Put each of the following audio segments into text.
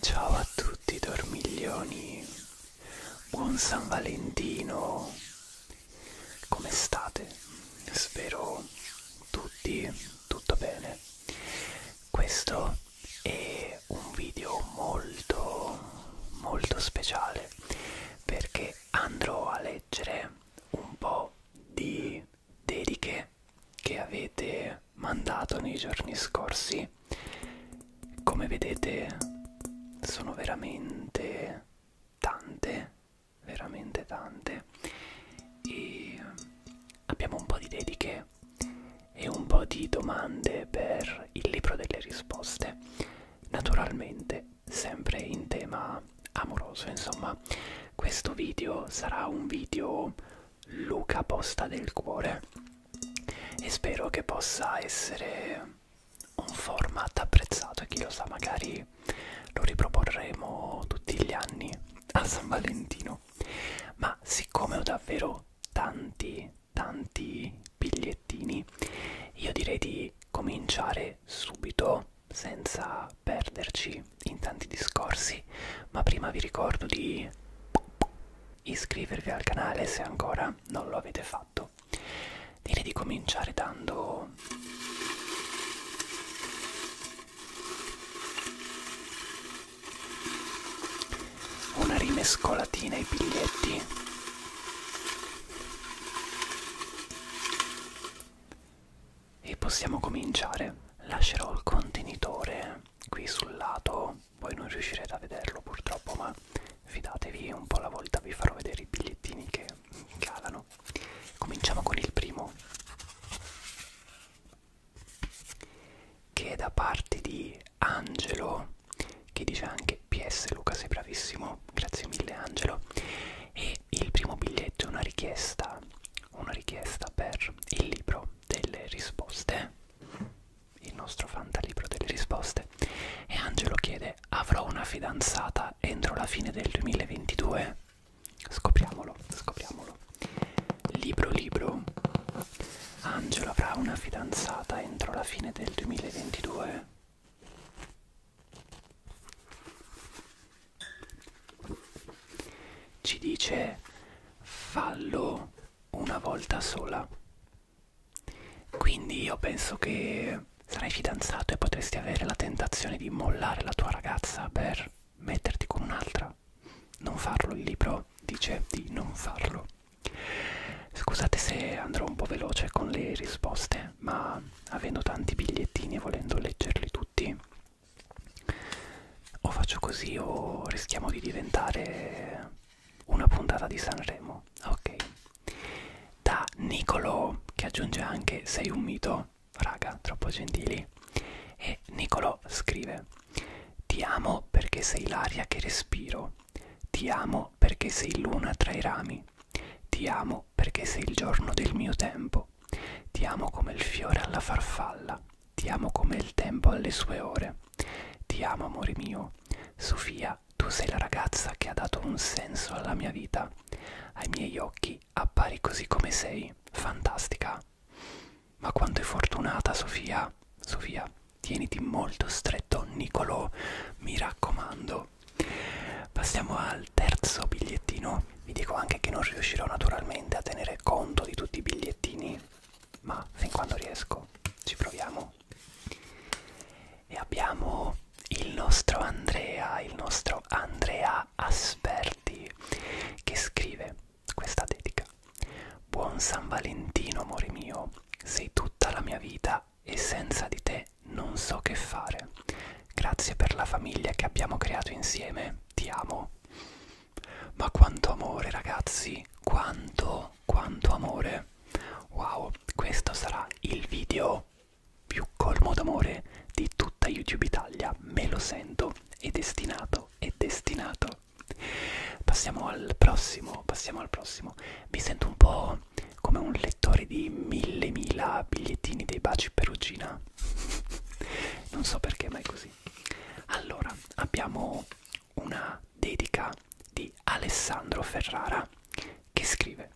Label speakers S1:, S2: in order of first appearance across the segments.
S1: Ciao a tutti dormiglioni, buon San Valentino, come state? Spero tutti tutto bene. Questo è un video molto molto speciale perché andrò a leggere un po' di dediche domande che avete mandato nei giorni scorsi come vedete sono veramente tante veramente tante e eh, abbiamo un po' di dediche e un po' di domande per il libro delle risposte naturalmente sempre in tema amoroso insomma questo video sarà un video Luca Posta del Cuore e spero che possa essere un format apprezzato e chi lo sa magari lo riproporremo tutti gli anni a San Valentino ma siccome ho davvero tanti tanti bigliettini io direi di cominciare subito senza perderci in tanti discorsi ma prima vi ricordo di iscrivervi al canale se ancora non lo avete fatto. Direi di cominciare dando una rimescolatina ai biglietti e possiamo cominciare. Lascerò il contenitore qui sul lato voi non riuscirete a vederlo purtroppo ma fidatevi un po' alla volta vi farò vedere i bigliettini che calano cominciamo con il primo che è da parte di Angelo che dice anche PS Luca sei bravissimo grazie mille Angelo e il primo biglietto è una richiesta una richiesta per il libro delle risposte il nostro fantalibro delle risposte e Angelo chiede avrò una fidanzata entro la fine del 2022? Scopriamolo, scopriamolo. Libro libro. Angelo avrà una fidanzata entro la fine del 2022? Ci dice fallo una volta sola. Quindi io penso che sarai fidanzato e potresti avere la tentazione di mollare la tua ragazza per metterti con un'altra. Non farlo, il libro dice di non farlo. Scusate se andrò un po' veloce con le risposte, ma avendo tanti bigliettini e volendo leggerli tutti, o faccio così o rischiamo di diventare una puntata di Sanremo, ok? Da Niccolò, che aggiunge anche sei un mito, raga, troppo gentili. E Niccolò scrive: Ti amo perché sei l'aria che respiro. Ti amo perché sei luna tra i rami. Ti amo perché sei il giorno del mio tempo. Ti amo come il fiore alla farfalla. Ti amo come il tempo alle sue ore. Ti amo, amore mio. Sofia, tu sei la ragazza che ha dato un senso alla mia vita. Ai miei occhi appari così come sei. Fantastica. Ma quanto è fortunata, Sofia. Sofia, tieniti molto stretto, Nicolò. Mi raccomando. Passiamo al terzo bigliettino. Vi dico anche che non riuscirò naturalmente a tenere conto di tutti i bigliettini ma fin quando riesco ci proviamo e abbiamo il nostro Andrea il nostro Andrea Asperti che scrive questa dedica buon San Valentino amore mio sei tutta la mia vita e senza di te non so che fare grazie per la famiglia che abbiamo creato insieme ti amo ma quanto amore ragazzi, quanto, quanto amore. Wow, questo sarà il video più colmo d'amore di tutta YouTube Italia, me lo sento, è destinato, è destinato. Passiamo al prossimo, passiamo al prossimo. Mi sento un po' come un lettore di mille mila bigliettini dei baci perugina. non so perché, ma è così. Allora, abbiamo una dedica di Alessandro Ferrara che scrive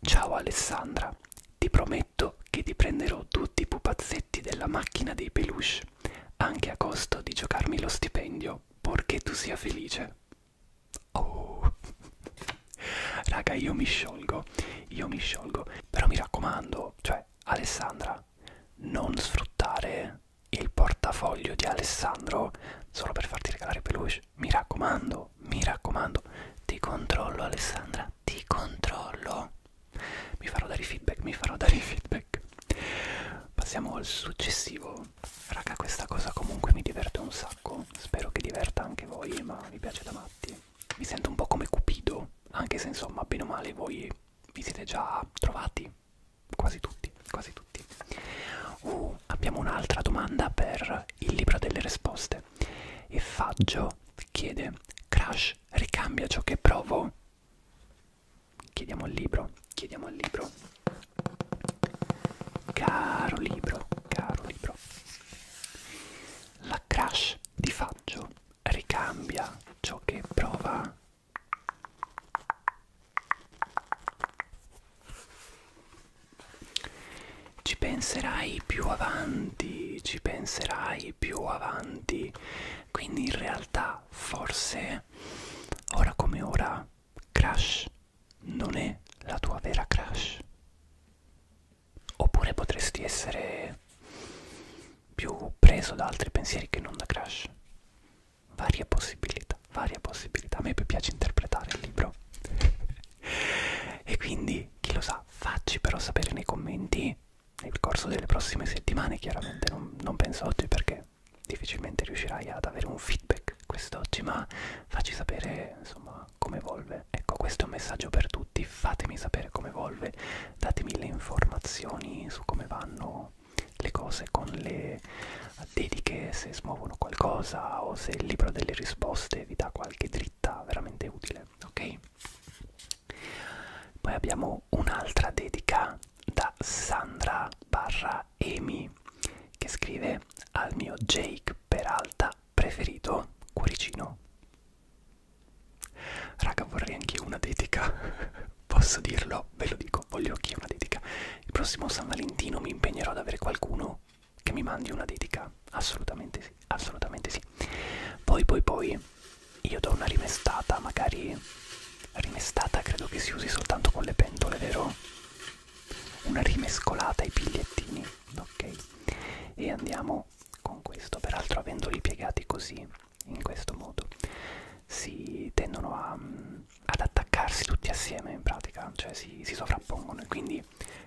S1: Ciao Alessandra, ti prometto che ti prenderò tutti i pupazzetti della macchina dei peluche, anche a costo di giocarmi lo stipendio, purché tu sia felice. Oh, raga, io mi sciolgo, io mi sciolgo, però mi raccomando, cioè Alessandra, non sfruttare il portafoglio di Alessandro solo per farti regalare peluche. Mi raccomando, mi raccomando, ti controllo Alessandra, ti controllo. Mi farò dare i feedback, mi farò dare i feedback. Passiamo al successivo. Raga, questa cosa comunque mi diverte un sacco. Spero che diverta anche voi, ma mi piace da matti. Mi sento un po' come Cupido, anche se insomma, bene o male, voi vi siete già trovati quasi tutti, quasi tutti. Uh, abbiamo un'altra domanda per il libro delle risposte. E Faggio chiede: Crash ricambia ciò che provo? Chiediamo il libro, chiediamo il libro. Caro libro, caro libro. La crash di Faggio ricambia ciò che prova ci penserai più avanti, ci penserai più avanti, quindi in realtà forse ora come ora Crash non è la tua vera Crash. Oppure potresti essere più preso da altri pensieri che non da Crash varie possibilità, varie possibilità. A me piace interpretare il libro. e quindi, chi lo sa, facci però sapere nei commenti nel corso delle prossime settimane, chiaramente non, non penso oggi perché difficilmente riuscirai ad avere un feedback quest'oggi, ma facci sapere insomma come evolve. Ecco, questo è un messaggio per tutti, fatemi sapere come evolve, datemi le informazioni su come vanno le cose con le dediche se smuovono qualcosa o se il libro delle risposte vi dà qualche dritta veramente utile ok poi abbiamo un'altra dedica da Sandra barra Emi che scrive al mio Jake Peralta preferito cuoricino raga vorrei anche una dedica Posso dirlo, ve lo dico, voglio che una dedica. Il prossimo San Valentino mi impegnerò ad avere qualcuno che mi mandi una dedica. Assolutamente sì, assolutamente sì. Poi, poi, poi, io do una rimestata, magari rimestata credo che si usi soltanto con le pentole, vero? Una rimescolata ai bigliettini, ok? E andiamo con questo, peraltro avendoli piegati così, in questo modo, si tendono a... Um, ad attaccarsi tutti assieme in pratica, cioè si, si sovrappongono e quindi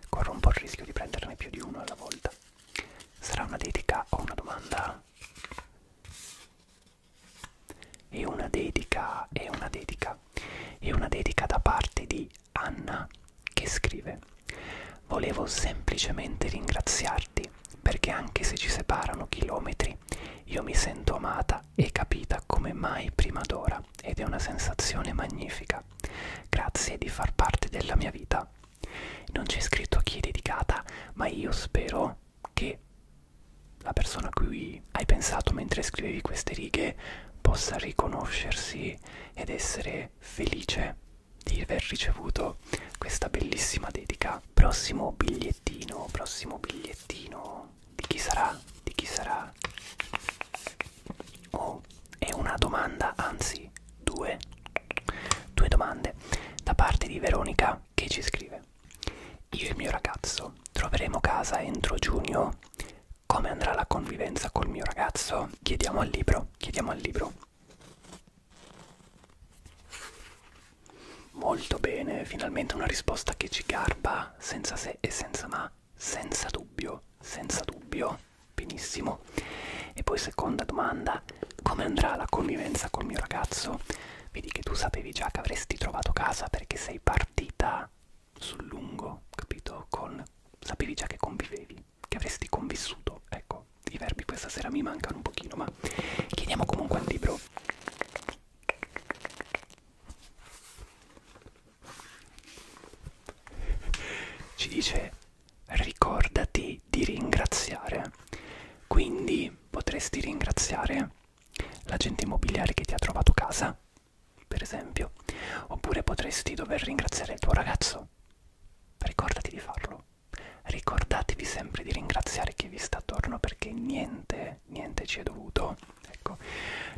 S1: corro un po' il rischio di prenderne più di uno alla volta. Sarà una dedica o una domanda? E una dedica, e una dedica, e una dedica da parte di Anna che scrive Volevo semplicemente ringraziarti perché anche se ci separano chilometri io mi sento amata vista e capita come mai prima d'ora ed è una sensazione magnifica. Grazie di far parte della mia vita. Non c'è scritto a chi è dedicata, ma io spero che la persona a cui hai pensato mentre scrivevi queste righe possa riconoscersi ed essere felice di aver ricevuto questa bellissima dedica. Prossimo biglietto bigliettino, prossimo bigliettino. Di chi sarà? Di chi sarà? Oh, è una domanda, anzi, due. Due domande da parte di Veronica che ci scrive. Io e il mio ragazzo troveremo casa entro giugno. Come andrà la convivenza col mio ragazzo? Chiediamo al libro, chiediamo al libro. Molto bene, finalmente una risposta che ci garba senza se e senza ma, senza dubbio, senza dubbio. Benissimo. E poi seconda domanda, come andrà la convivenza col mio ragazzo? Vedi che tu sapevi già che avresti trovato casa perché sei partita sul lungo, capito? Con sapevi già che convivevi, che avresti convissuto. Ecco, i verbi questa sera mi mancano un pochino, ma chiediamo comunque al libro ci dice ricordati di ringraziare. Quindi potresti ringraziare l'agente immobiliare che ti ha trovato casa, per esempio, oppure potresti dover ringraziare il tuo ragazzo. Ricordati di farlo. Ricordatevi sempre di ringraziare chi vi sta attorno perché niente, niente ci è dovuto ecco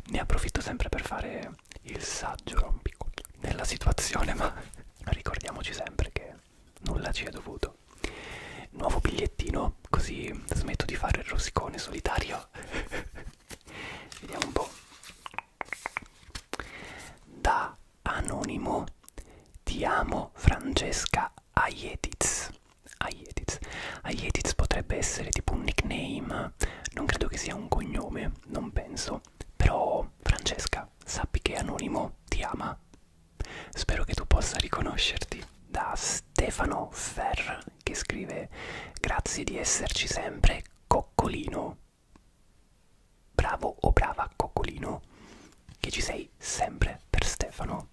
S1: ne approfitto sempre per fare il saggio nella situazione ma ricordiamoci sempre che nulla ci è dovuto nuovo bigliettino così smetto di fare il rosicone solitario vediamo un po' da anonimo ti amo Francesca Aietiz Aietiz. Aietiz potrebbe essere tipo un nickname, non credo che sia un cognome, non penso. Però Francesca, sappi che Anonimo ti ama. Spero che tu possa riconoscerti. Da Stefano Ferr che scrive Grazie di esserci sempre, Coccolino. Bravo o brava Coccolino, che ci sei sempre per Stefano.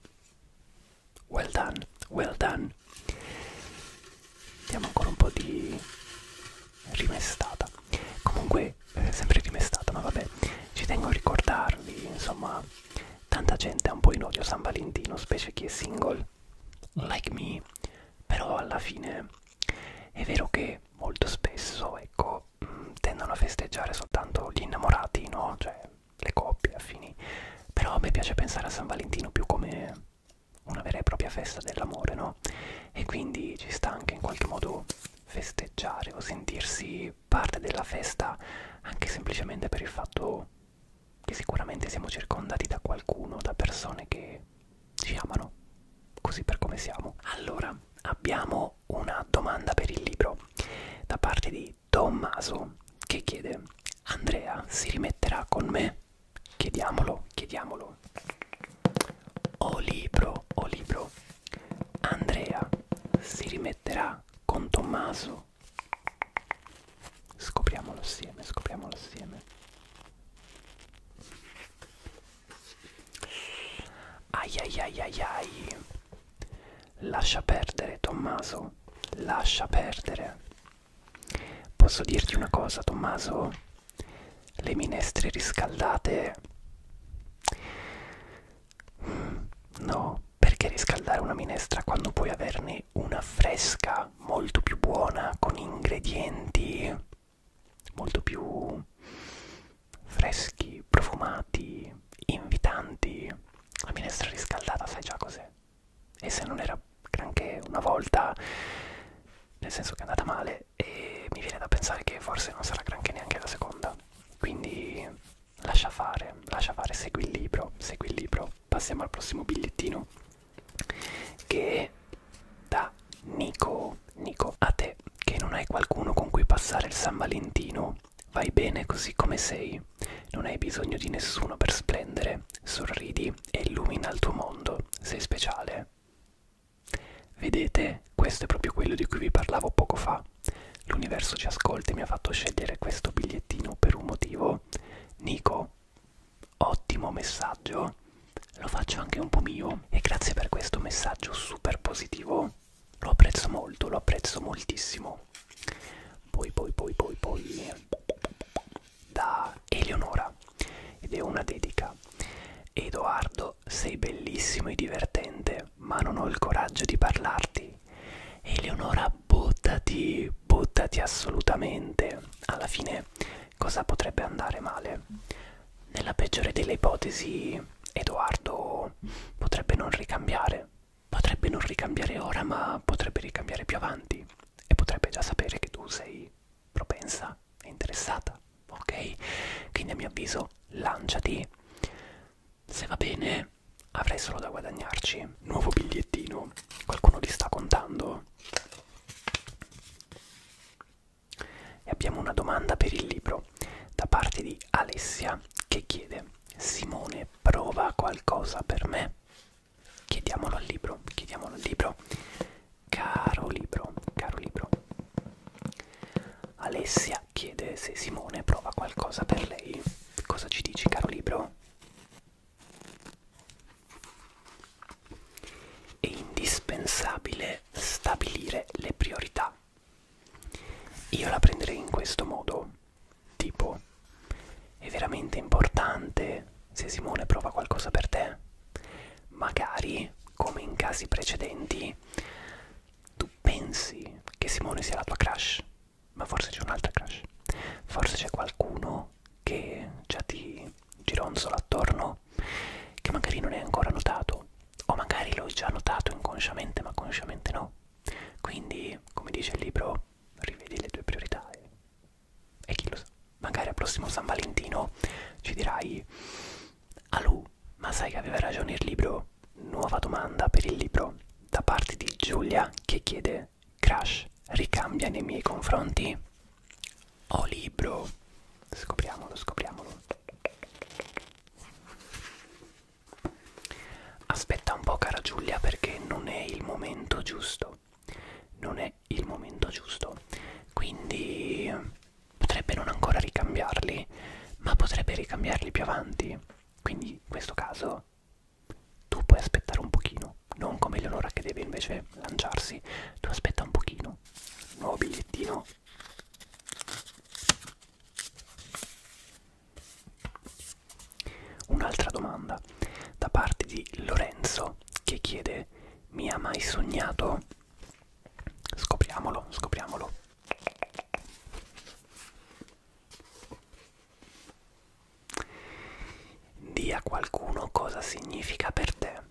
S1: Well done, well done. Diamo ancora un po' di rimestata. Comunque, eh, sempre rimestata, ma vabbè, ci tengo a ricordarvi, insomma, tanta gente ha un po' in odio San Valentino, specie chi è single, like me, però alla fine è vero che molto spesso, ecco, mm, tendono a festeggiare soltanto gli innamorati, no? Cioè, le coppie affini però a me piace pensare a San Valentino più come una vera e propria festa dell'amore no? e quindi ci sta anche in qualche modo festeggiare o sentirsi parte della festa anche semplicemente per il fatto che sicuramente siamo circondati da qualcuno da persone che ci amano così per come siamo allora abbiamo una domanda per il libro da parte di Tommaso che chiede Andrea si rimetterà con me? Chiediamolo, chiediamolo. O libro, o libro. Andrea si rimetterà con Tommaso? Scopriamolo assieme, scopriamolo assieme. Ai ai ai ai ai. Lascia perdere Tommaso, lascia perdere. Posso dirti una cosa, Tommaso? Le minestre riscaldate... No, perché riscaldare una minestra quando puoi averne una fresca, molto più buona, con ingredienti molto più freschi, profumati, invitanti? La minestra riscaldata sai già cos'è? e se non era granché una volta, nel senso che è andata male, e mi viene da pensare che forse non sarà granché neanche la seconda. Quindi lascia fare, lascia fare, segui il libro, segui il libro. Passiamo al prossimo bigliettino che è da Nico. Nico, a te che non hai qualcuno con cui passare il San Valentino, vai bene così come sei. Non hai bisogno di nessuno per splendere. Sorridi e illumina il tuo mondo, sei speciale. Vedete, questo è proprio quello di cui vi parlavo poco fa. L'universo ci ascolta e mi ha fatto scegliere questo bigliettino per un motivo. Nico, ottimo messaggio, lo faccio anche un po' mio e grazie per questo messaggio super positivo. Lo apprezzo molto, lo apprezzo moltissimo. Poi, poi, poi, poi, poi da Eleonora ed è una dedica. Edoardo, sei bellissimo e divertente, ma non ho il coraggio di parlarti. Eleonora, buttati, buttati assolutamente. Alla fine, cosa potrebbe andare male? Nella peggiore delle ipotesi, Edoardo potrebbe non ricambiare. Potrebbe non ricambiare ora, ma potrebbe ricambiare più avanti e potrebbe già sapere che tu sei propensa e interessata, ok? Quindi a mio avviso lanciati, se va bene avrai solo da guadagnarci. Nuovo bigliettino, qualcuno li sta contando? E abbiamo una domanda per il libro da parte di Alessia che chiede Simone prova qualcosa per me? chiediamolo al libro, chiediamolo al libro. Caro libro, caro libro. Alessia chiede se Simone prova qualcosa per lei. Cosa ci dici, caro libro? È indispensabile stabilire le priorità. Io la prenderei in questo modo, tipo è veramente importante se Simone prova qualcosa per te. Magari, come in casi precedenti, tu pensi che Simone sia la tua crush, ma forse c'è un'altra crush. Forse c'è qualcuno che già ti gironzola attorno, che magari non hai ancora notato, o magari l'hai già notato inconsciamente, ma consciamente no. Quindi, come dice il libro, rivedi le tue priorità e e chi lo sa, magari al prossimo San Valentino ci dirai Alu, ma sai che aveva ragione il libro? Nuova domanda per il libro da parte di Giulia che chiede Crash, ricambia nei miei confronti? Oh libro, scopriamolo, scopriamolo. Aspetta un po' cara Giulia perché non è il momento giusto non è il momento giusto quindi potrebbe non ancora ricambiarli ma potrebbe ricambiarli più avanti quindi in questo caso tu puoi aspettare un pochino non come Eleonora che deve invece lanciarsi tu aspetta un pochino nuovo bigliettino Un'altra domanda da parte di Lorenzo che chiede niente mi ha mai sognato? Scopriamolo, scopriamolo. Di a qualcuno cosa significa per te.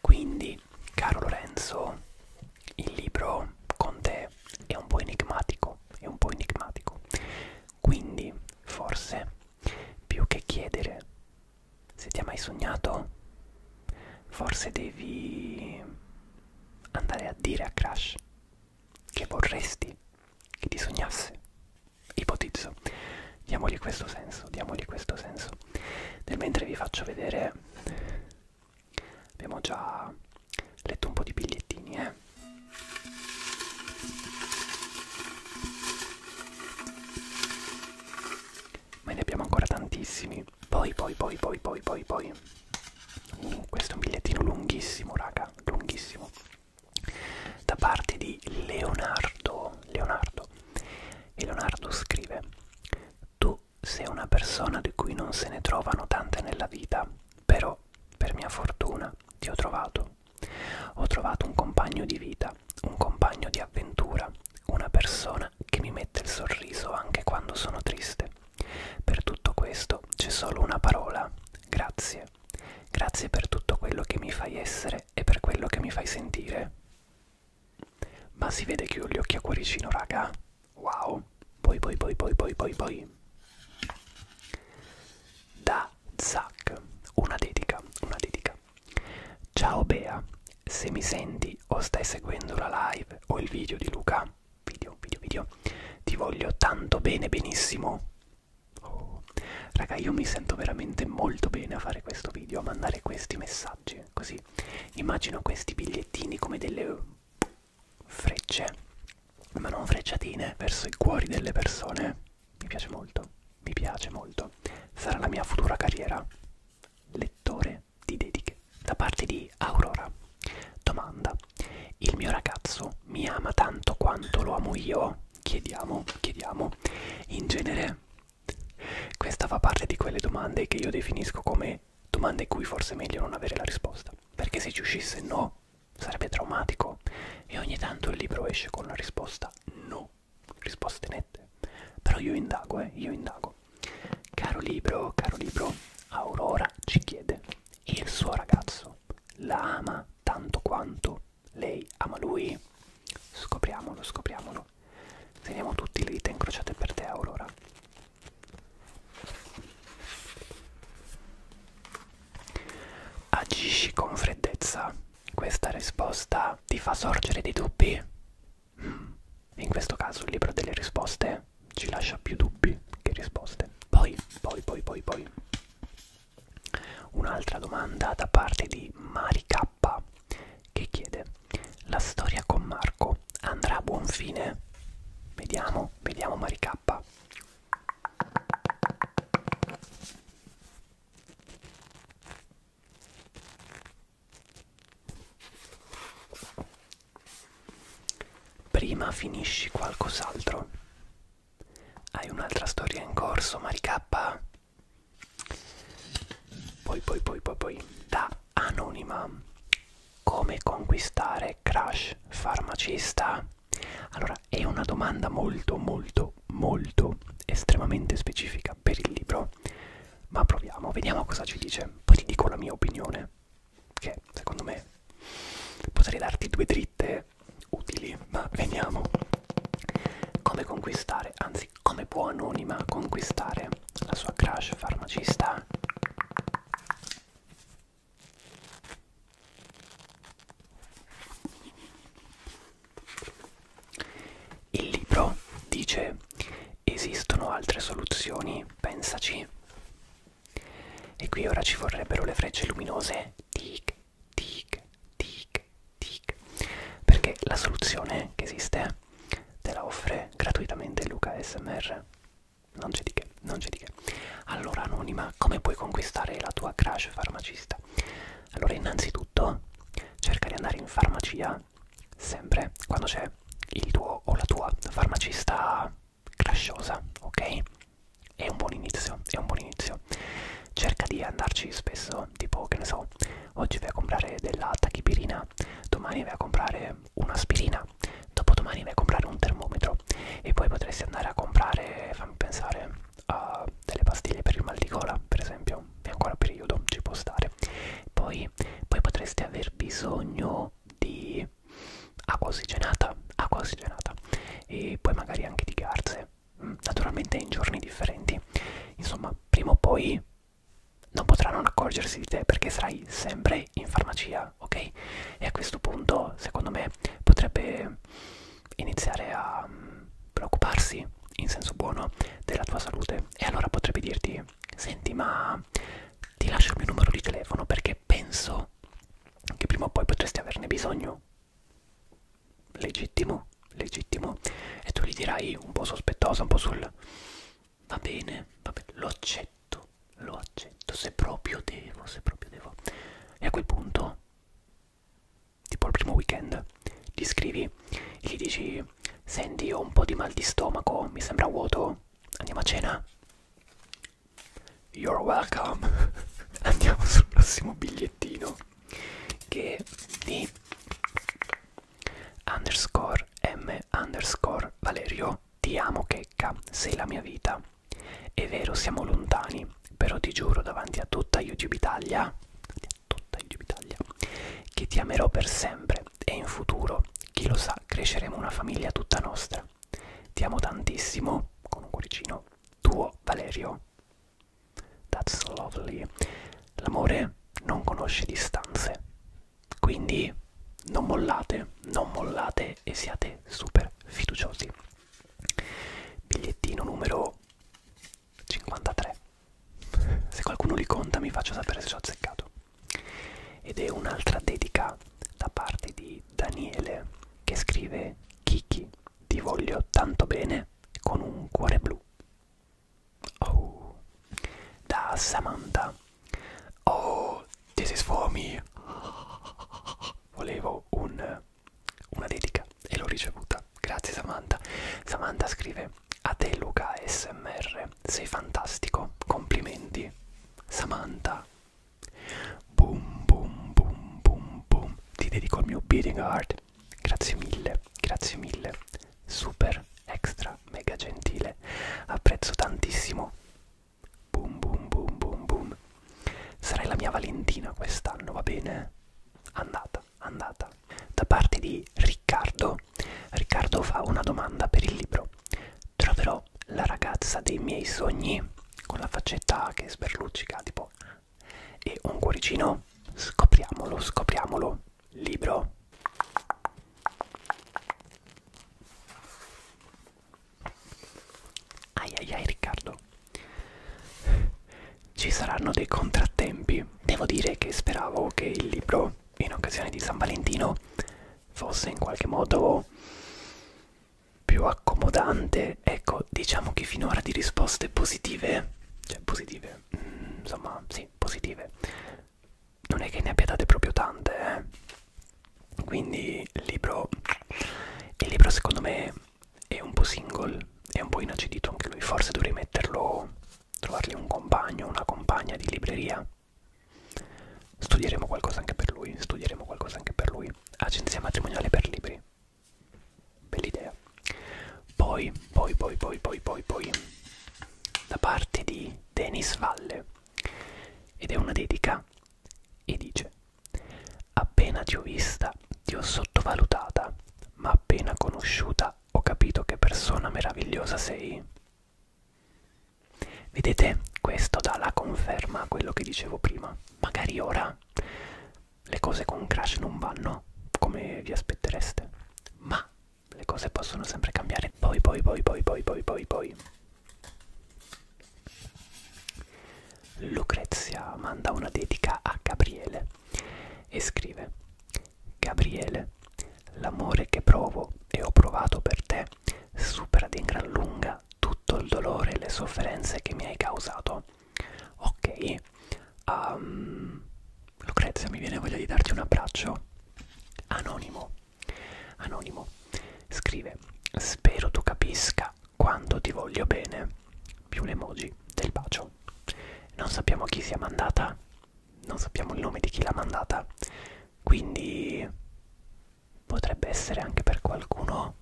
S1: Quindi, caro Lorenzo, il libro con te è un po' enigmatico, è un po' enigmatico. Quindi, forse, più che chiedere se ti ha mai sognato, forse devi andare a dire a Crash che vorresti che ti sognasse. Ipotizzo. Diamogli questo senso, diamogli questo senso. Nel mentre vi faccio vedere, abbiamo già letto un po' di bigliettini, eh ma ne abbiamo ancora tantissimi poi poi poi poi poi poi poi uh, questo è un bigliettino lunghissimo raga lunghissimo da parte di Leonardo Leonardo e Leonardo scrive tu sei una persona di cui non se ne trovano tante nella vita però per mia fortuna ti ho trovato ho trovato un compagno di vita, un compagno di avventura, una persona che mi mette il sorriso anche quando sono triste. Per tutto questo c'è solo una parola, grazie. Grazie per tutto quello che mi fai essere e per quello che mi fai sentire. Ma si vede che ho gli occhi a cuoricino, raga. Wow. Poi, poi, poi, poi, poi, poi, poi. Da Zack. Una dedica, una dedica. Ciao Bea, se mi senti o stai seguendo la live o il video di Luca, video, video, video, ti voglio tanto bene, benissimo. Oh. Raga, io mi sento veramente molto bene a fare questo video, a mandare questi messaggi, così immagino questi bigliettini come delle frecce, ma non frecciatine, verso i cuori delle persone. Mi piace molto mi piace molto, sarà la mia futura carriera, lettore di dediche, da parte di Aurora. Domanda, il mio ragazzo mi ama tanto quanto lo amo io? Chiediamo, chiediamo, in genere questa fa parte di quelle domande che io definisco come domande in cui forse è meglio non avere la risposta, perché se ci uscisse no sarebbe traumatico e ogni tanto il libro esce con la risposta no risposte nette. Però io indago, eh, io indago. Caro libro, caro libro, Aurora ci chiede, il suo ragazzo la ama tanto quanto lei ama lui? Scopriamolo, scopriamolo. Teniamo tutti le dita incrociate per te, Aurora. Agisci con freddezza questa risposta ti fa sorgere dei dubbi? In questo caso il libro delle risposte ci lascia più dubbi che risposte. Poi, poi, poi, poi, poi. Un'altra domanda da parte di Mari K che chiede la storia con Marco andrà a buon fine? Vediamo, vediamo Mari K. Prima finisci qualcos'altro. Hai un'altra storia in corso, Maricappa? Poi, poi, poi, poi, poi. Da Anonima. Come conquistare Crash Farmacista? Allora, è una domanda molto, molto, molto molto estremamente specifica per il libro ma proviamo vediamo cosa ci dice poi ti dico la mia opinione che secondo me potrei darti due dritte utili ma vediamo come conquistare anzi come può anonima conquistare la sua crush farmacista il libro dice esistono altre soluzioni, pensaci. E qui ora ci vorrebbero le frecce luminose. Tic, tic, tic, tic. Perché la soluzione che esiste te la offre gratuitamente Luca SMR. Non c'è di che, non c'è di che. Allora anonima, come puoi conquistare la tua crash farmacista? Allora innanzitutto cerca di andare in farmacia sempre quando c'è il tuo o la tua farmacista crasciosa, ok? È un buon inizio, è un buon inizio. Cerca di andarci spesso, tipo che ne so, oggi vai a comprare della tachipirina, domani vai a comprare un'aspirina, dopodomani vai a comprare un termometro e poi potresti andare a comprare, fammi pensare, uh, delle pastiglie per il mal di gola, per esempio, è ancora periodo, ci può stare. Poi, poi potreste aver bisogno di acqua ossigenata, acqua ossigenata e poi magari anche di garze, mm, naturalmente in giorni differenti. Insomma, prima o poi non potranno accorgersi di te perché sarai sempre in farmacia, ok? E a questo punto, secondo me, potrebbe iniziare a mm, preoccuparsi in senso buono della tua salute e allora potrebbe dirti senti ma ti lascio il mio numero di telefono perché penso che prima o poi potresti averne bisogno legittimo legittimo e tu gli dirai un po' sospettosa un po' sul va bene va bene lo accetto lo accetto se proprio devo se proprio devo e a quel punto tipo il primo weekend, gli scrivi e gli dici senti ho un po' di mal di stomaco, mi sembra vuoto, andiamo a cena? You're welcome. Andiamo sul prossimo bigliettino che è di underscore m underscore Valerio ti amo checca, sei la mia vita. È vero siamo lontani, però ti giuro davanti a tutta YouTube Italia detto da YouTube Italia che ti amerò per sempre e in futuro, chi lo sa, cresceremo una famiglia tutta nostra. Ti amo tantissimo, con un cuoricino, tuo Valerio. That's lovely. L'amore non conosce distanze, quindi non mollate, non mollate e siate super fiduciosi. Bigliettino numero 53 se qualcuno li conta mi faccia sapere se ci ho azzeccato ed è un'altra dedica da parte di Daniele che scrive Kiki ti voglio tanto bene con un cuore blu oh da Samantha oh this is for me volevo un, una dedica e l'ho ricevuta Samantha, grazie Samantha. Samantha scrive: A te Luca SMR, sei fantastico, complimenti. Samantha. Boom, boom, boom, boom, boom. Ti dedico il mio beating heart. Grazie mille, grazie mille. Super, extra, mega gentile. Apprezzo tantissimo. Boom, boom, boom, boom, boom. Sarai la mia Valentina quest'anno, va bene? Andata andata, andata. Da parte di Riccardo. Riccardo fa una domanda per il libro. Troverò la ragazza dei miei sogni con la faccetta che sberluccica tipo e un cuoricino. Scopriamolo, scopriamolo. Libro. Ai ai ai Riccardo ci saranno dei contrattempi. Devo dire che speravo che il libro, in occasione di San Valentino, fosse in qualche modo più accomodante. Ecco, diciamo che finora di risposte positive, cioè positive, mm, insomma, sì, positive, non è che ne abbia date proprio tante. Eh? Quindi il libro, il libro secondo me è un po' single, è un po' inacidito anche lui, forse dovrei metterlo trovargli un compagno, una compagna di libreria. Studieremo qualcosa anche per lui, studieremo qualcosa anche per lui. Agenzia matrimoniale per libri. Bell'idea. Poi, poi, poi, poi, poi, poi, poi, da parte di Denis Valle. Ed è una dedica e dice Appena ti ho vista, ti ho sottovalutata, ma appena conosciuta ho capito che persona meravigliosa sei. Vedete, questo dà la conferma a quello che dicevo prima. Magari ora le cose con Crash non vanno come vi aspettereste, ma le cose possono sempre cambiare. Poi, poi, poi, poi, poi, poi, poi, poi. Lucrezia manda una dedica a Gabriele e scrive Gabriele, l'amore che provo e ho provato per te supera di gran lunga tutto il dolore e le sofferenze che mi hai causato. Ok, um, Lucrezia, mi viene voglia di darti un abbraccio. Anonimo, anonimo, scrive: Spero tu capisca quanto ti voglio bene. Più l'emoji del bacio. Non sappiamo chi sia mandata, non sappiamo il nome di chi l'ha mandata quindi potrebbe essere anche per qualcuno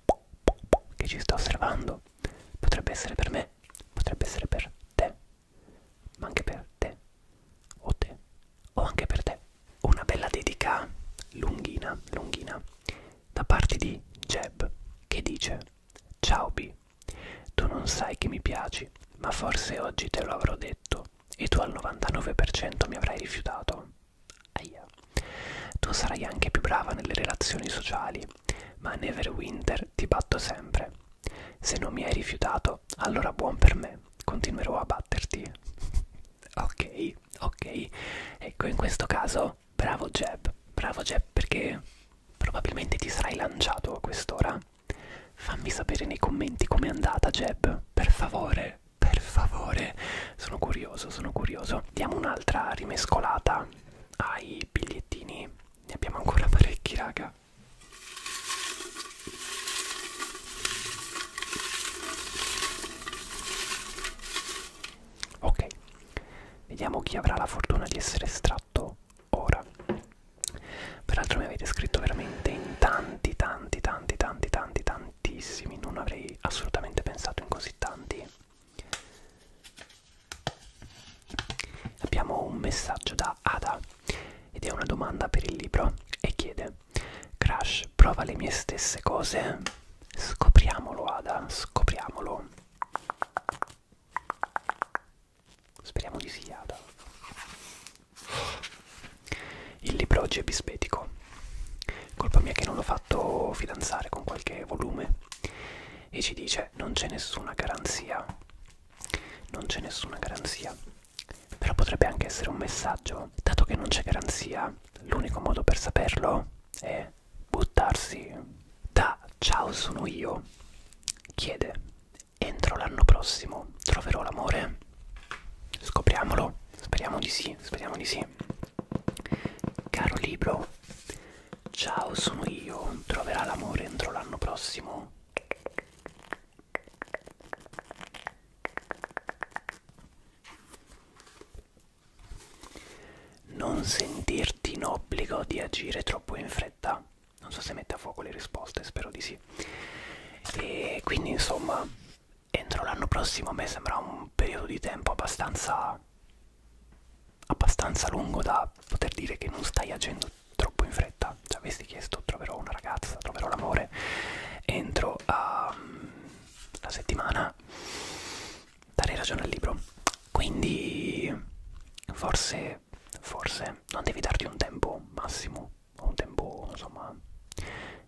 S1: che ci sta osservando potrebbe essere per me potrebbe essere per te ma anche per te o te o anche per te una bella dedica lunghina lunghina da parte di Jeb che dice ciao B tu non sai che mi piaci, ma forse oggi te lo avrò detto e tu al 99% mi avrai rifiutato. Aia. Tu sarai anche più brava nelle relazioni sociali, ma a Neverwinter ti batto sempre. Se non mi hai rifiutato, allora buon per me, continuerò a batterti. ok, ok. Ecco, in questo caso, bravo Jeb, bravo Jeb perché probabilmente ti sarai lanciato a quest'ora Fammi sapere nei commenti com'è andata Jeb, per favore, per favore, sono curioso, sono curioso. Diamo un'altra rimescolata ai bigliettini, ne abbiamo ancora parecchi raga. Ok, vediamo chi avrà la fortuna di essere estratto ora peraltro mi avete scritto veramente in tanti tanti tanti tanti tanti tantissimi non avrei assolutamente pensato in così tanti abbiamo un messaggio da Ada ed è una domanda per il libro e chiede Crash prova le mie stesse cose scopriamolo Ada scopriamolo Speriamo di sì, Ada. Il libro oggi è bispetico. Colpa mia che non l'ho fatto fidanzare con qualche volume. E ci dice: Non c'è nessuna garanzia. Non c'è nessuna garanzia. Però potrebbe anche essere un messaggio. Dato che non c'è garanzia, l'unico modo per saperlo è buttarsi. Da ciao sono io. Chiede entro l'anno prossimo troverò l'amore? Scopriamolo, speriamo di sì, speriamo di sì. Caro libro, ciao sono io, troverà l'amore entro l'anno prossimo? Non sentirti in obbligo di agire troppo in fretta non so se mette a fuoco le risposte, spero di sì. E quindi insomma, entro l'anno prossimo a me sembra un periodo di tempo abbastanza abbastanza lungo da poter dire che non stai agendo troppo in fretta. Ci avessi chiesto troverò una ragazza, troverò l'amore entro a, ehm, la settimana dare ragione al libro. Quindi forse forse non devi darti un tempo massimo un tempo insomma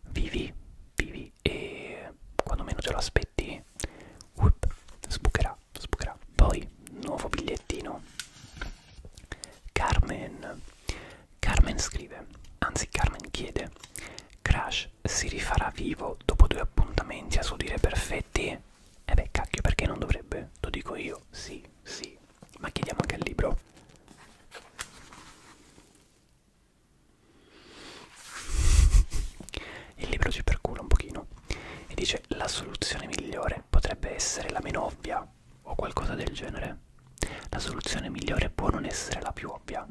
S1: vivi, vivi e quando meno te lo aspetti whoop, sbucherà, sbucherà. Poi nuovo bigliettino. Carmen. Carmen scrive, anzi Carmen chiede, Crash si rifarà vivo dopo due appuntamenti a suo dire perfetti? E eh beh cacchio perché non dovrebbe? Lo dico io, sì, sì, ma chiediamo anche il libro il libro ci percula un pochino e dice la soluzione migliore potrebbe essere la meno ovvia o qualcosa del genere la soluzione migliore può non essere la più ovvia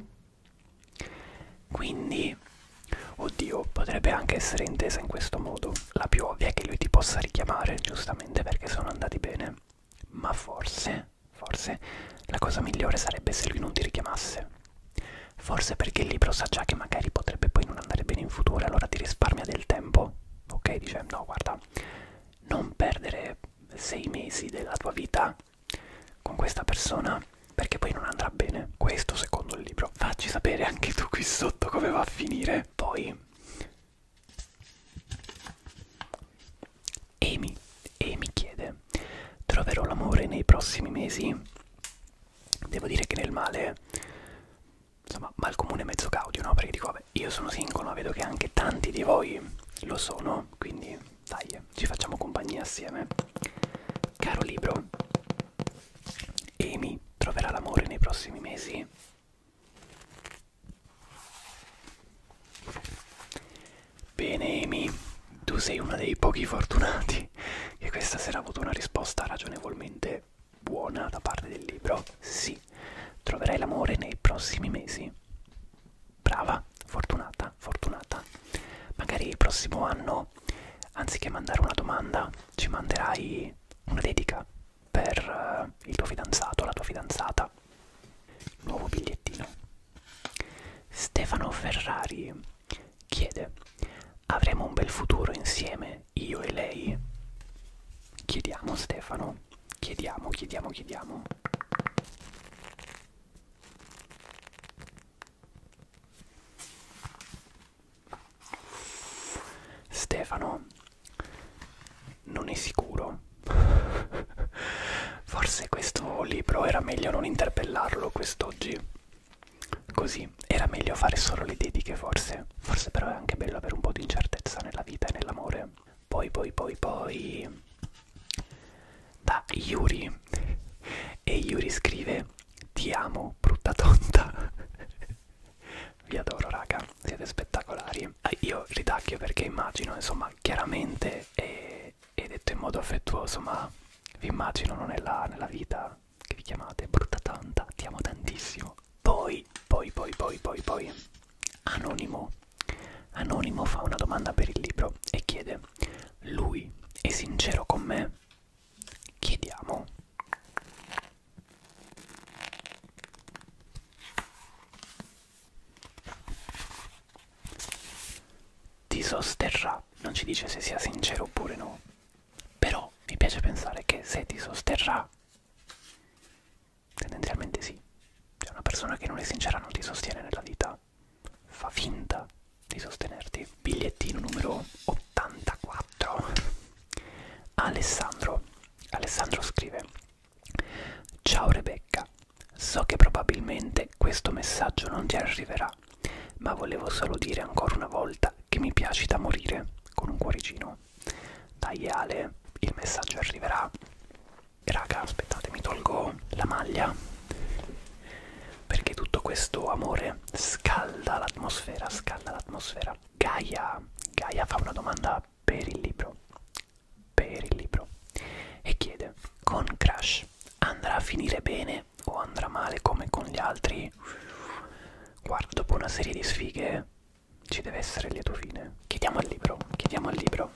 S1: quindi oddio potrebbe anche essere intesa in questo modo la più ovvia è che lui ti possa richiamare giustamente perché sono andati bene ma forse, forse, la cosa migliore sarebbe se lui non ti richiamasse. Forse perché il libro sa già che magari potrebbe poi non andare bene in futuro, allora ti risparmia del tempo. Ok, dice, no, guarda, non perdere sei mesi della tua vita con questa persona perché poi non andrà bene. Questo secondo il libro. Facci sapere anche tu qui sotto come va a finire. Poi e mi, e mi chiede, troverò l'amore nei prossimi mesi? Devo dire che nel male, insomma, mal comune mezzo caudio, no? Perché dico, vabbè, io sono single, ma vedo che anche tanti di voi lo sono, quindi dai, ci facciamo compagnia assieme. Caro libro, Amy troverà l'amore nei prossimi mesi? Bene Amy, tu sei uno dei pochi fortunati che questa sera ha avuto una risposta ragionevolmente buona da parte del libro. Sì, troverai l'amore nei prossimi mesi. Brava, fortunata, fortunata. Magari il prossimo anno, anziché mandare una domanda, ci manderai una dedica per eh, il tuo fidanzato, la tua fidanzata. Nuovo bigliettino. Stefano Ferrari chiede: Avremo un bel futuro insieme, io e lei? Chiediamo Stefano, chiediamo, chiediamo, chiediamo. Stefano, non è sicuro forse questo libro era meglio non interpellarlo quest'oggi così era meglio fare solo le dediche forse forse però è anche bello avere un po' di incertezza nella vita e nell'amore poi poi poi poi da Yuri e Yuri scrive ti amo brutta tonta vi adoro raga siete spettacolari. Eh, io ridacchio perché immagino, insomma, chiaramente e, e detto in modo affettuoso, ma vi immaginano nella, nella vita che vi chiamate brutta tanta, ti amo tantissimo. Poi, poi, poi, poi, poi, poi, Anonimo. Anonimo fa una domanda per il libro e chiede, lui è sincero con me? Chiediamo ti sosterrà, non ci dice se sia sincero oppure no, però mi piace pensare che se ti sosterrà, tendenzialmente sì, cioè una persona che non è sincera non ti sostiene nella vita, fa finta di sostenerti. Bigliettino numero 84. Alessandro. Alessandro scrive Ciao Rebecca, so che probabilmente questo messaggio non ti arriverà, ma volevo solo dire ancora una volta che mi piaci da morire con un cuoricino. Dai Ale, il messaggio arriverà. Raga, aspettate, mi tolgo la maglia perché tutto questo amore scalda l'atmosfera, scalda l'atmosfera. Gaia, Gaia fa una domanda fa per il libro per il libro e chiede con Crash andrà a finire bene o andrà male come con gli altri guarda dopo una serie di sfighe ci deve essere il lieto fine chiediamo al libro chiediamo al libro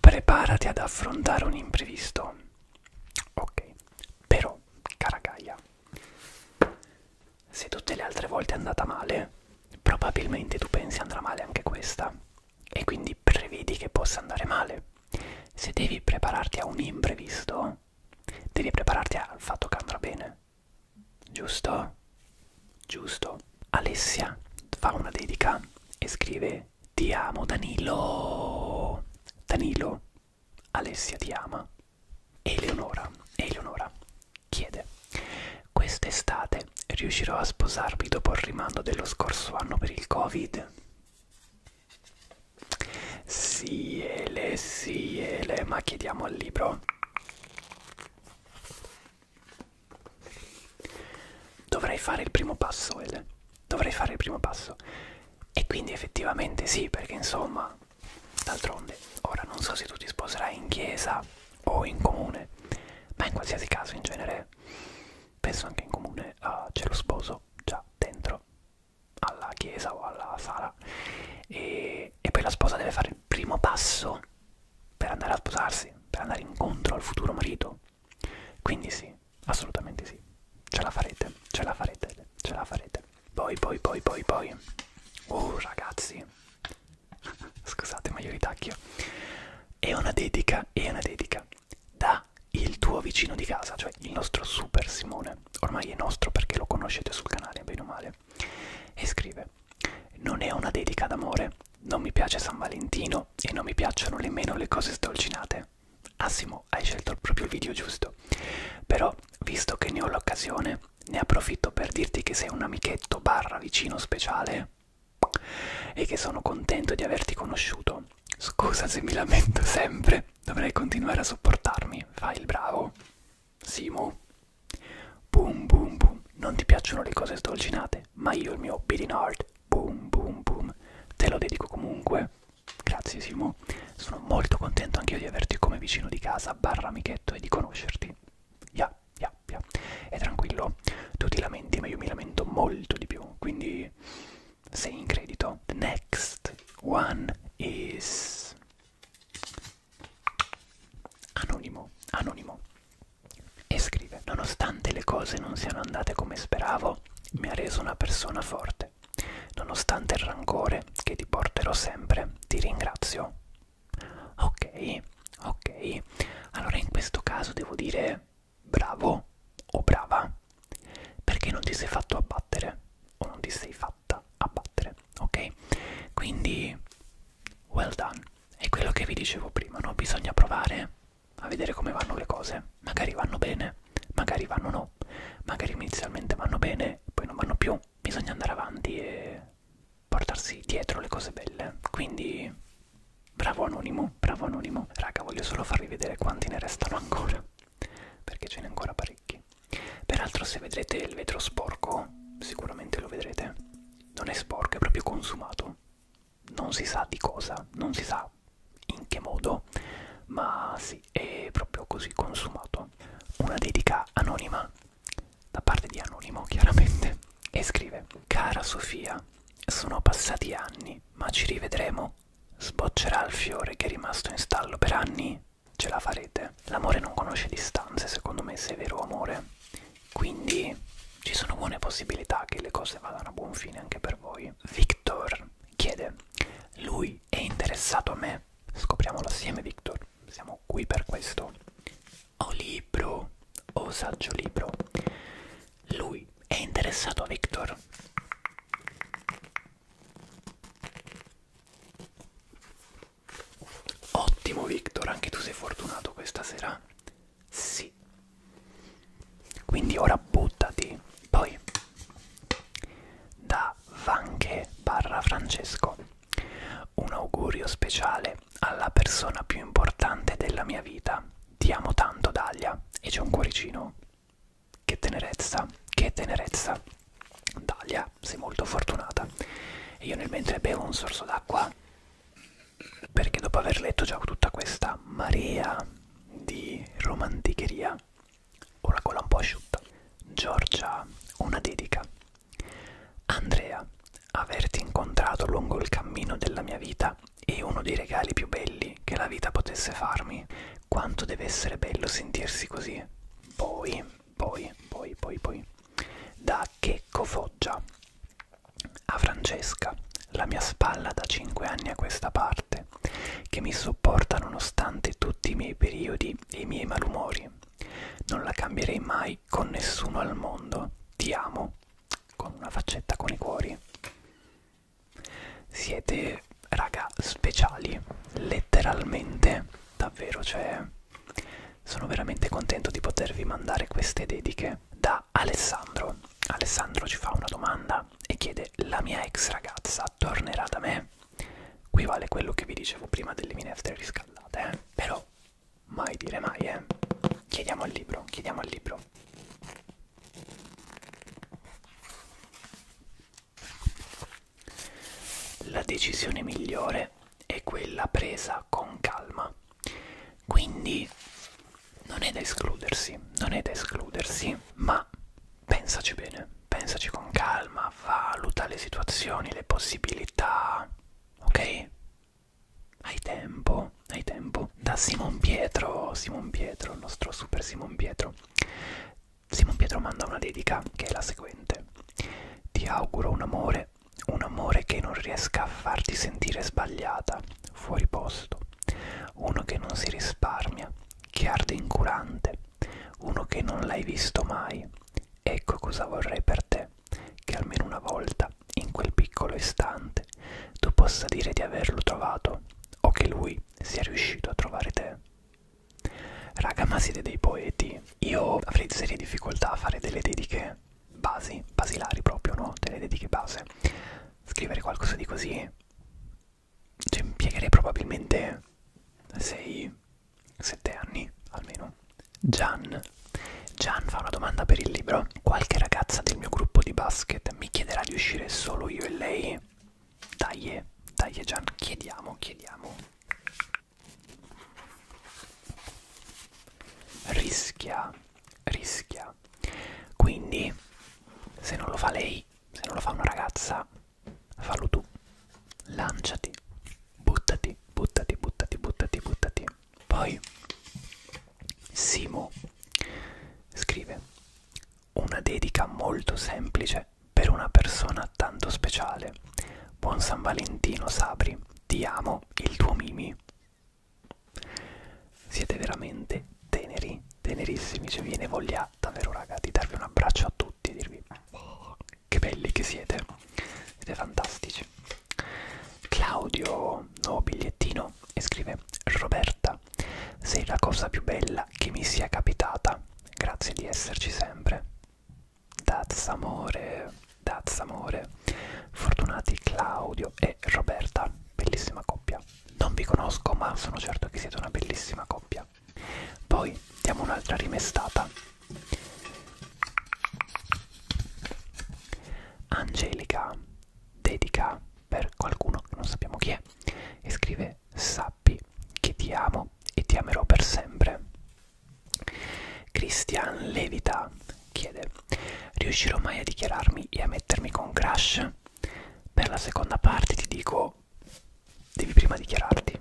S1: Preparati ad affrontare un imprevisto. Ok, però, cara Gaia, se tutte le altre volte è andata male, probabilmente tu pensi andrà male anche questa e quindi prevedi che possa andare male. Se devi prepararti a un imprevisto, devi prepararti al fatto che andrà bene. Giusto? Giusto. Alessia fa una dedica e scrive ti amo Danilo. Danilo, Alessia ti ama. Eleonora, Eleonora chiede: Quest'estate riuscirò a sposarmi dopo il rimando dello scorso anno per il Covid? Sì, Ele, sì, Ele, ma chiediamo al libro. Dovrei fare il primo passo, Ele dovrei fare il primo passo e quindi effettivamente sì perché insomma d'altronde ora non so se tu ti sposerai in chiesa o in comune ma in qualsiasi caso in genere penso anche in comune uh, c'è lo sposo già dentro alla chiesa o alla sala e, e poi la sposa deve fare il primo passo per andare a sposarsi per andare incontro al futuro marito quindi sì, assolutamente sì. Ce la farete, ce la farete, ce la farete. Poi, poi, poi, poi, poi. Oh, ragazzi. Scusate, ma io ritacchio. È una dedica, è una dedica. Da il tuo vicino di casa, cioè il nostro super Simone. Ormai è nostro perché lo conoscete sul canale, bene o male. E scrive: Non è una dedica d'amore. Non mi piace San Valentino e non mi piacciono nemmeno le cose sdolcinate. Assimo, hai scelto proprio il video giusto. Però, visto che ne ho l'occasione, ne approfitto per dirti che sei un amichetto barra vicino speciale e che sono contento di averti conosciuto. Scusa se mi lamento sempre, dovrei continuare a sopportarmi. Fai il bravo. Simo. Boom boom boom. Non ti piacciono le cose sdolcinate, ma io il mio beating heart, boom boom boom, te lo dedico comunque. Grazie Simo, sono molto contento anch'io di averti come vicino di casa, barra amichetto e di conoscerti. Ya, yeah, ya, yeah, ya. Yeah. E tranquillo, tu ti lamenti, ma io mi lamento molto di più, quindi sei in credito. The next one is... Anonimo, anonimo. E scrive, nonostante le cose non siano andate come speravo, mi ha reso una persona forte te. Nonostante il rancore che ti porterò sempre, ti ringrazio. Ok, ok. Allora in questo caso devo dire bravo o brava. Perché non ti sei fatto abbattere o non ti sei fatta abbattere, ok? Quindi well done. È quello che vi dicevo prima, no? Bisogna provare a vedere come vanno le cose. Magari vanno bene, magari vanno no no? Magari inizialmente vanno bene, poi non vanno più. Bisogna andare avanti e portarsi dietro le cose belle. Quindi, bravo Anonimo, bravo Anonimo. Raga, voglio solo farvi vedere quanti ne restano ancora, perché ce n'è ancora parecchi. Peraltro, se vedrete il vetro sporco, sicuramente lo vedrete. Non è sporco, è proprio consumato. Non si sa di cosa, non si sa in che modo, ma sì, è proprio così consumato. Una dedica anonima, da parte di Anonimo chiaramente, e scrive Cara Sofia, sono passati anni, ma ci rivedremo? Sboccerà il fiore che è rimasto in stallo per anni? Ce la farete? L'amore non conosce distanze, secondo me, se è vero amore. Quindi ci sono buone possibilità che le cose vadano a buon fine anche per voi. Victor chiede, lui lui è interessato a me. Scopriamolo assieme, Victor. Siamo qui per questo. O libro, o saggio libro. Lui è interessato a Victor. Ottimo Victor, anche tu sei fortunato questa sera. Sì. Quindi ora buttati. Poi da Vanche barra Francesco. Un augurio speciale alla persona più importante della mia vita. Ti amo tanto, Dalia. E c'è un cuoricino. Che tenerezza, che tenerezza. Dalia, sei molto fortunata. E io nel mentre bevo un sorso d'acqua, perché dopo aver letto già tutta questa marea di romanticheria, una gola un po' asciutta. Giorgia, una dedica. Andrea, averti incontrato lungo il cammino della mia vita è uno dei regali più belli che la vita potesse farmi. Quanto deve essere bello sentirsi così. Poi, poi, poi, poi, poi. Da Checco Foggia. A Francesca, la mia spalla da 5 anni a questa parte che mi sopporta nonostante tutti i miei periodi e i miei malumori. Non la cambierei mai con nessuno al mondo. Ti amo. Con una faccetta con i cuori. Siete, raga, speciali. Letteralmente. Davvero, cioè... Sono veramente contento di potervi mandare queste dediche da Alessandro. Alessandro ci fa una domanda e chiede: La mia ex ragazza tornerà da me? Qui vale quello che vi dicevo prima delle minestre riscaldate, eh? però mai dire mai, eh? Chiediamo al libro, chiediamo al libro. La decisione migliore è quella presa con calma. Quindi non è da escludersi, non è da escludersi, ma pensaci bene, pensaci con calma, valuta le situazioni, le possibilità, ok? Hai tempo, hai tempo. Da Simon Pietro, Simon Pietro, il nostro super Simon Pietro. Simon Pietro manda una dedica che è la seguente. Ti auguro un amore, un amore che non riesca a farti sentire sbagliata, fuori posto, uno che non si risparmia, che arde incurante, uno che non l'hai visto mai. Ecco cosa vorrei per te, che almeno una volta, in quel piccolo istante, tu possa dire di averlo trovato o che lui sia riuscito a trovare te. Raga, ma siete dei poeti. Io avrei serie difficoltà a fare delle dediche basi, basilari proprio, no? Delle dediche base. Scrivere qualcosa di così ci cioè, impiegherei probabilmente 6-7 anni almeno. Gian. Gian fa una domanda per il libro. Qualche ragazza del mio gruppo di basket mi chiederà di uscire solo io e lei? Dai, dai Gian, chiediamo, chiediamo. Rischia, rischia. Quindi, se non lo fa lei, se non lo fa una ragazza, fallo tu lanciati buttati buttati buttati buttati buttati poi Simo scrive una dedica molto semplice per una persona tanto speciale buon San Valentino Sabri ti amo il tuo Mimi siete veramente teneri tenerissimi ci cioè, viene voglia davvero raga di darvi un abbraccio a tutti tutti e dirvi oh, che belli che siete, siete fantastici. Claudio, nuovo bigliettino, e scrive Roberta, sei la cosa più bella che mi sia capitata, grazie di esserci sempre. Daz amore, daz amore, fortunati Claudio e Roberta, bellissima coppia. Non vi conosco ma sono certo che siete una bellissima coppia. Poi diamo un'altra rimestata. Angelica dedica per qualcuno che non sappiamo chi è e scrive sappi che ti amo e ti amerò per sempre. Christian Levita chiede riuscirò mai a dichiararmi e a mettermi con Crash? Per la seconda parte ti dico devi prima dichiararti,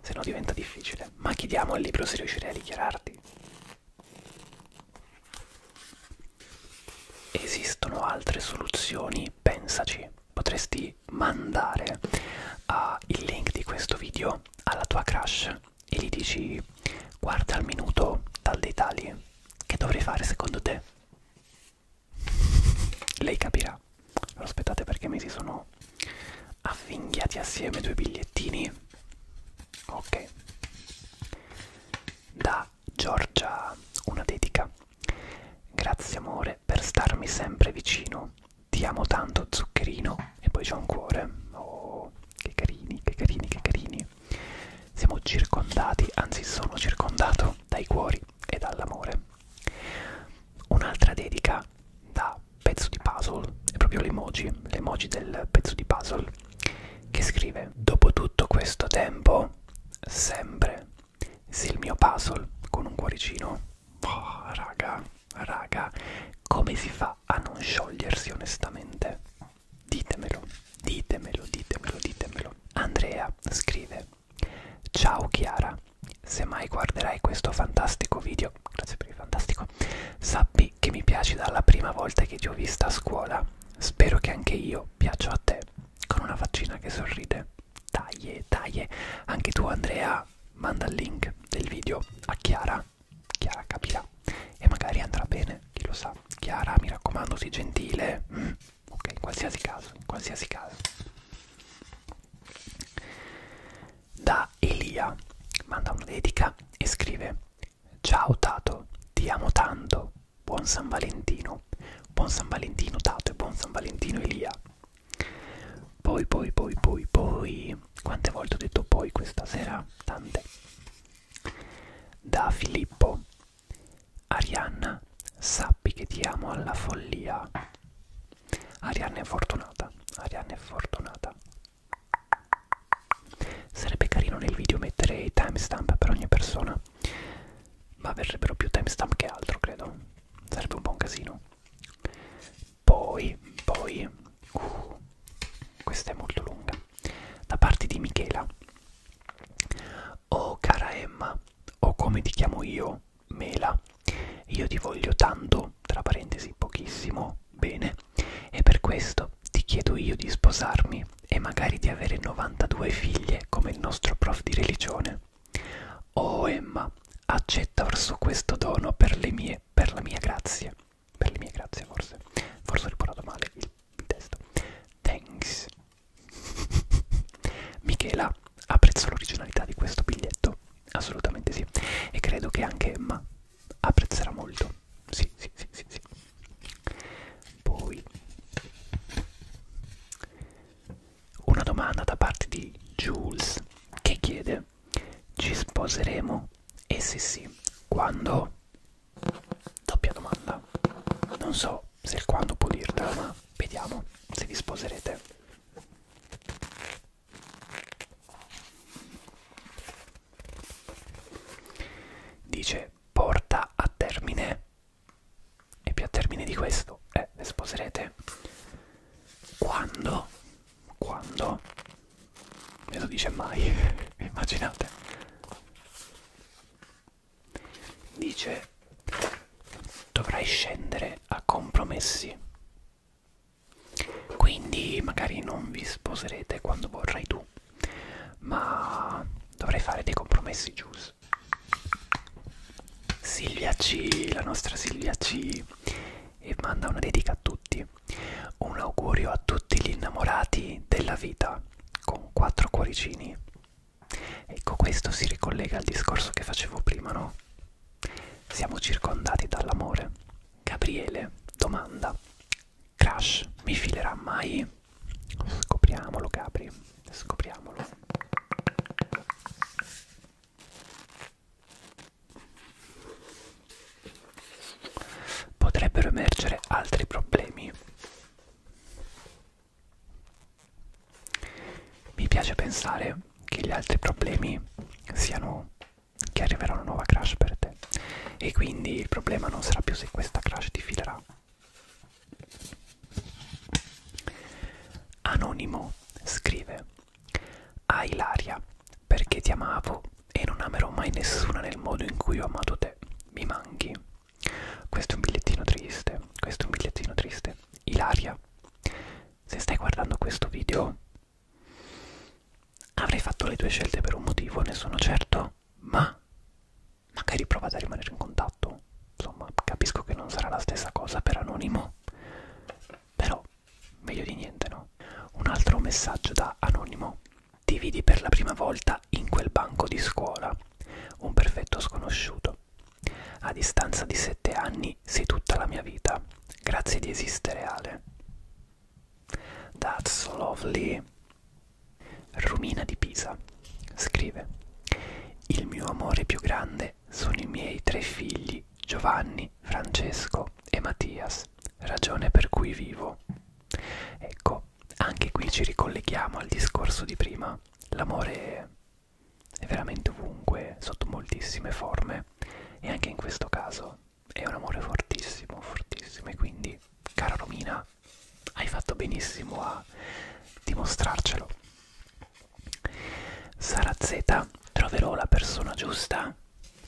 S1: se no diventa difficile. Ma chiediamo al libro se riuscirai a dichiararti. Esistono altre soluzioni? Pensaci. Potresti mandare uh, il link di questo video alla tua crush e gli dici guarda al minuto tal dei tali che dovrei fare secondo te lei capirà. Lo aspettate perché mi si sono avvinghiati assieme due bigliettini. Ok. Da Giorgia una dedica. Grazie amore per starmi sempre vicino. Ti amo tanto zuccherino. E poi c'è un cuore. Oh, che carini, che carini, che carini. Siamo circondati, anzi sono circondato dai cuori e dall'amore. Un'altra dedica da pezzo di puzzle è proprio l'emoji, l'emoji del pezzo di puzzle che scrive Dopo tutto questo tempo, sempre, se il mio puzzle con un cuoricino. Oh, raga, raga, come si fa a non sciogliersi onestamente? Ditemelo, ditemelo, ditemelo, ditemelo. Andrea scrive Ciao Chiara, se mai guarderai questo fantastico video, grazie per il fantastico, sappi che mi piaci dalla prima volta che ti ho vista a scuola. Spero che anche io piaccio a te, con una faccina che sorride. Dai, dai, anche tu Andrea, manda il link del video a Chiara. Chiara capirà e magari andrà bene, chi lo sa. Chiara, mi raccomando, sii gentile. Mm. Ok, in qualsiasi caso, in qualsiasi caso. Da Elia manda una dedica e scrive Ciao Tato, ti amo tanto, buon San Valentino, buon San Valentino Tato e buon San Valentino Elia. Poi, poi, poi, poi, poi, quante volte ho detto poi questa sera? Tante. Da Filippo, Arianna, sappi che ti amo alla follia. Arianna è fortunata, Arianna è fortunata. Sarebbe carino nel video mettere i timestamp per ogni persona, ma verrebbero più timestamp che altro, credo. Sarebbe un buon casino. Poi, poi, uh, questa è molto lunga. Da parte di Michela. Oh cara Emma, o oh, come ti chiamo io, mela io ti voglio tanto tra parentesi pochissimo bene e per questo ti chiedo io di sposarmi e magari di avere 92 figlie come il nostro prof di religione oh Emma accetta orso questo dono per le mie per la mia grazia per le mie grazie forse forse ho riportato male il testo thanks Michela apprezzo l'originalità di questo biglietto assolutamente sì e credo che anche Emma apprezzerà molto sì sì sì sì, sì. poi una domanda da parte di Jules che chiede ci sposeremo e se sì quando doppia domanda non so se il quando può dirla ma vediamo se vi sposerete Dice porta a termine e più a termine di questo eh, le sposerete quando quando me lo dice mai immaginate dice dovrai scendere a compromessi quindi magari non vi sposerete quando vorrai tu, ma dovrei fare dei compromessi giusti. Silvia C, la nostra Silvia C, e manda una dedica a tutti. Un augurio a tutti gli innamorati della vita con quattro cuoricini. Ecco, questo si ricollega al discorso che facevo prima, no? Siamo circondati dall'amore. Gabriele domanda: Crash mi filerà mai? Scopriamolo, Gabri. Scopriamolo. Potrebbero emergere altri problemi. Mi piace pensare che gli altri problemi siano che arriverà una nuova crash per te e quindi il problema non sarà più se questa crash ti filerà. Anonimo scrive A Ilaria perché ti amavo e non amerò mai nessuna nel modo in cui ho amato te. Mi manchi. Questo è un bigliettino triste, questo è un bigliettino triste. Ilaria, se stai guardando questo video avrai fatto le tue scelte per un motivo, ne sono certo, ma magari provate a rimanere in contatto. Insomma, capisco che non sarà la stessa cosa per anonimo, però meglio di niente, no? Un altro messaggio da anonimo. Ti vidi per la prima volta in quel banco di scuola, un perfetto sconosciuto. A distanza di sette anni anni sei tutta la mia vita. Grazie di esistere, Ale. That's lovely. Rumina di Pisa scrive: Il mio amore più grande sono i miei tre figli, Giovanni, Francesco e Mattias, ragione per cui vivo. Ecco, anche qui ci ricolleghiamo al discorso di prima. L'amore è veramente ovunque, sotto moltissime forme e anche in questo caso è un amore fortissimo, fortissimo e quindi, cara Romina, hai fatto benissimo a dimostrarcelo. Sara Z, troverò la persona giusta?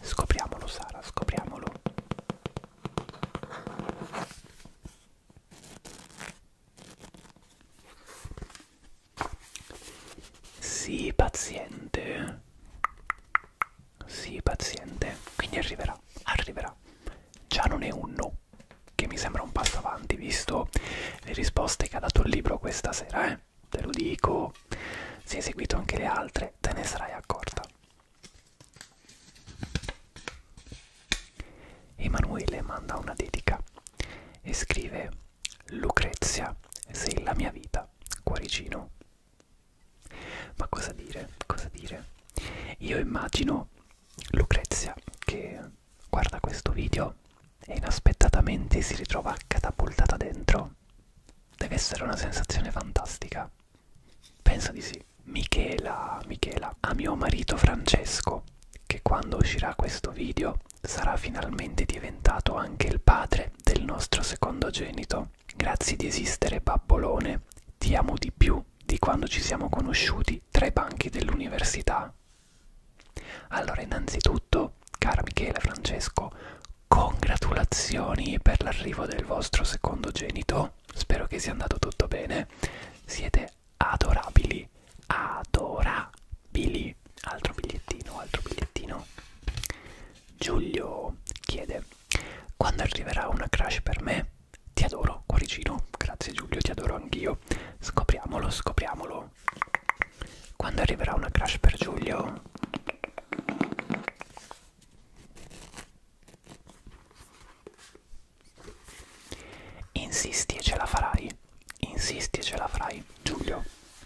S1: Scopriamolo Sara, scopriamolo. Sii paziente. Sii paziente. Quindi arriverà, arriverà. Già non è un no, che mi sembra un passo avanti, visto le risposte che ha dato il libro questa sera, eh. Te lo dico. Se hai seguito anche le altre, te ne sarai accorta. Emanuele manda una dedica e scrive Lucrezia, sei la mia vita, cuoricino. Ma cosa dire? Cosa dire? Io immagino Lucrezia che guarda questo video e inaspettatamente si ritrova catapultata dentro. Deve essere una sensazione fantastica. Penso di sì. Michela, Michela, a mio marito Francesco, che quando uscirà questo video sarà finalmente diventato anche il padre del nostro secondogenito. Grazie di esistere, papolone. Ti amo di più di quando ci siamo conosciuti tra i banchi dell'università. Allora, innanzitutto, cara Michele Francesco, congratulazioni per l'arrivo del vostro secondogenito. Spero che sia andato tutto bene. Siete adorabili, adorabili poi altro bigliettino, altro bigliettino. Giulio chiede: Quando arriverà una crash per me? Ti adoro, cuoricino. Grazie, Giulio, ti adoro anch'io. Scopriamolo, scopriamolo. Quando arriverà una crash per Giulio? Insisti e ce la farai. Insisti e ce la farai. Giulio,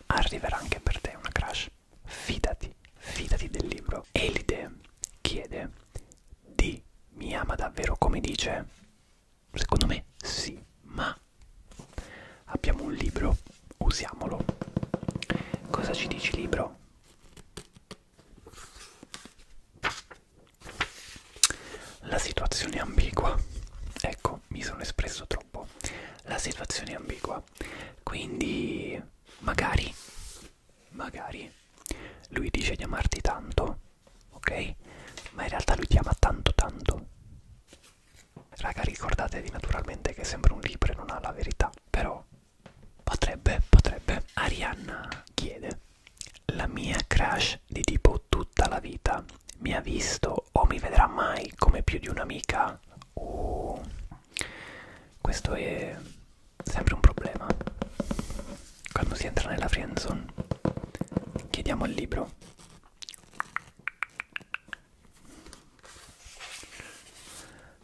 S1: arriverà anche per te una crash fidati, fidati del libro. Elide chiede di mi ama davvero come dice? Secondo me sì, ma abbiamo un libro, usiamolo. Cosa ci dici libro? La situazione è ambigua. Ecco, mi sono espresso troppo. La situazione è ambigua. Quindi magari, magari lui dice di amarti tanto, ok? Ma in realtà lui ti ama tanto tanto. Raga, ricordatevi naturalmente che sembra un libro e non ha la verità, però potrebbe, potrebbe. Arianna chiede, la mia crush di tipo tutta la vita mi ha visto o mi vedrà mai come più di un'amica? Oh, questo è sempre un problema. Quando si entra nella friendzone, chiediamo il libro.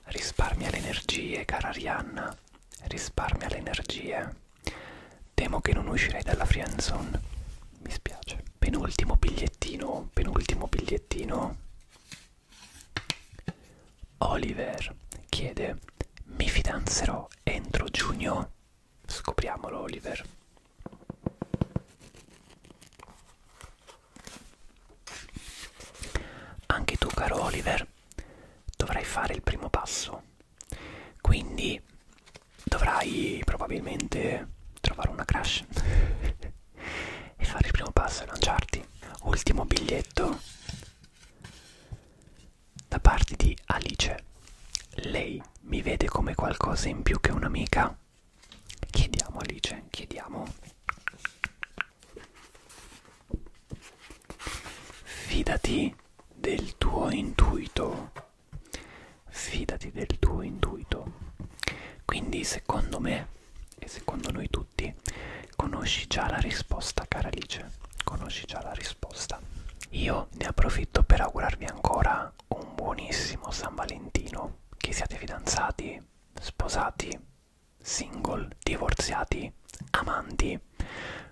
S1: Risparmia le energie, cara Arianna. Risparmia le energie. Temo che non uscirei dalla friendzone. Mi spiace. Penultimo bigliettino, penultimo bigliettino. Oliver chiede mi fidanzerò entro giugno? Scopriamolo Oliver. Anche tu caro Oliver dovrai fare il primo passo, quindi dovrai probabilmente trovare una crush e fare il primo passo e lanciarti. Ultimo biglietto da parte di Alice. Lei mi vede come qualcosa in più che un'amica. Chiediamo Alice, chiediamo. Fidati del tuo intuito. Fidati del tuo intuito. Quindi secondo me e secondo noi tutti conosci già la risposta cara Alice, conosci già la risposta. Io ne approfitto per augurarvi ancora un buonissimo San Valentino, che siate fidanzati, sposati, single, divorziati, amanti,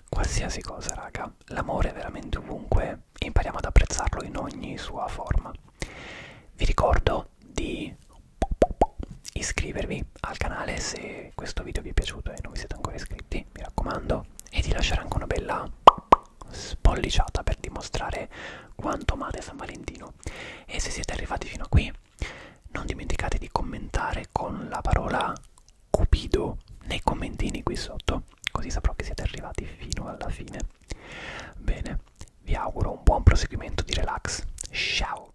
S1: qualsiasi cosa raga, l'amore è veramente ovunque e impariamo ad apprezzarlo in ogni sua forma. Vi ricordo di iscrivervi al canale se questo video vi è piaciuto e non vi siete ancora iscritti, mi raccomando, e di lasciare anche una bella spolliciata per dimostrare quanto amate San Valentino. E se siete arrivati fino a qui, non dimenticate di commentare con la parola Cupido nei commentini qui sotto, così saprò che siete arrivati fino alla fine. Bene, vi auguro un buon proseguimento di relax. Ciao!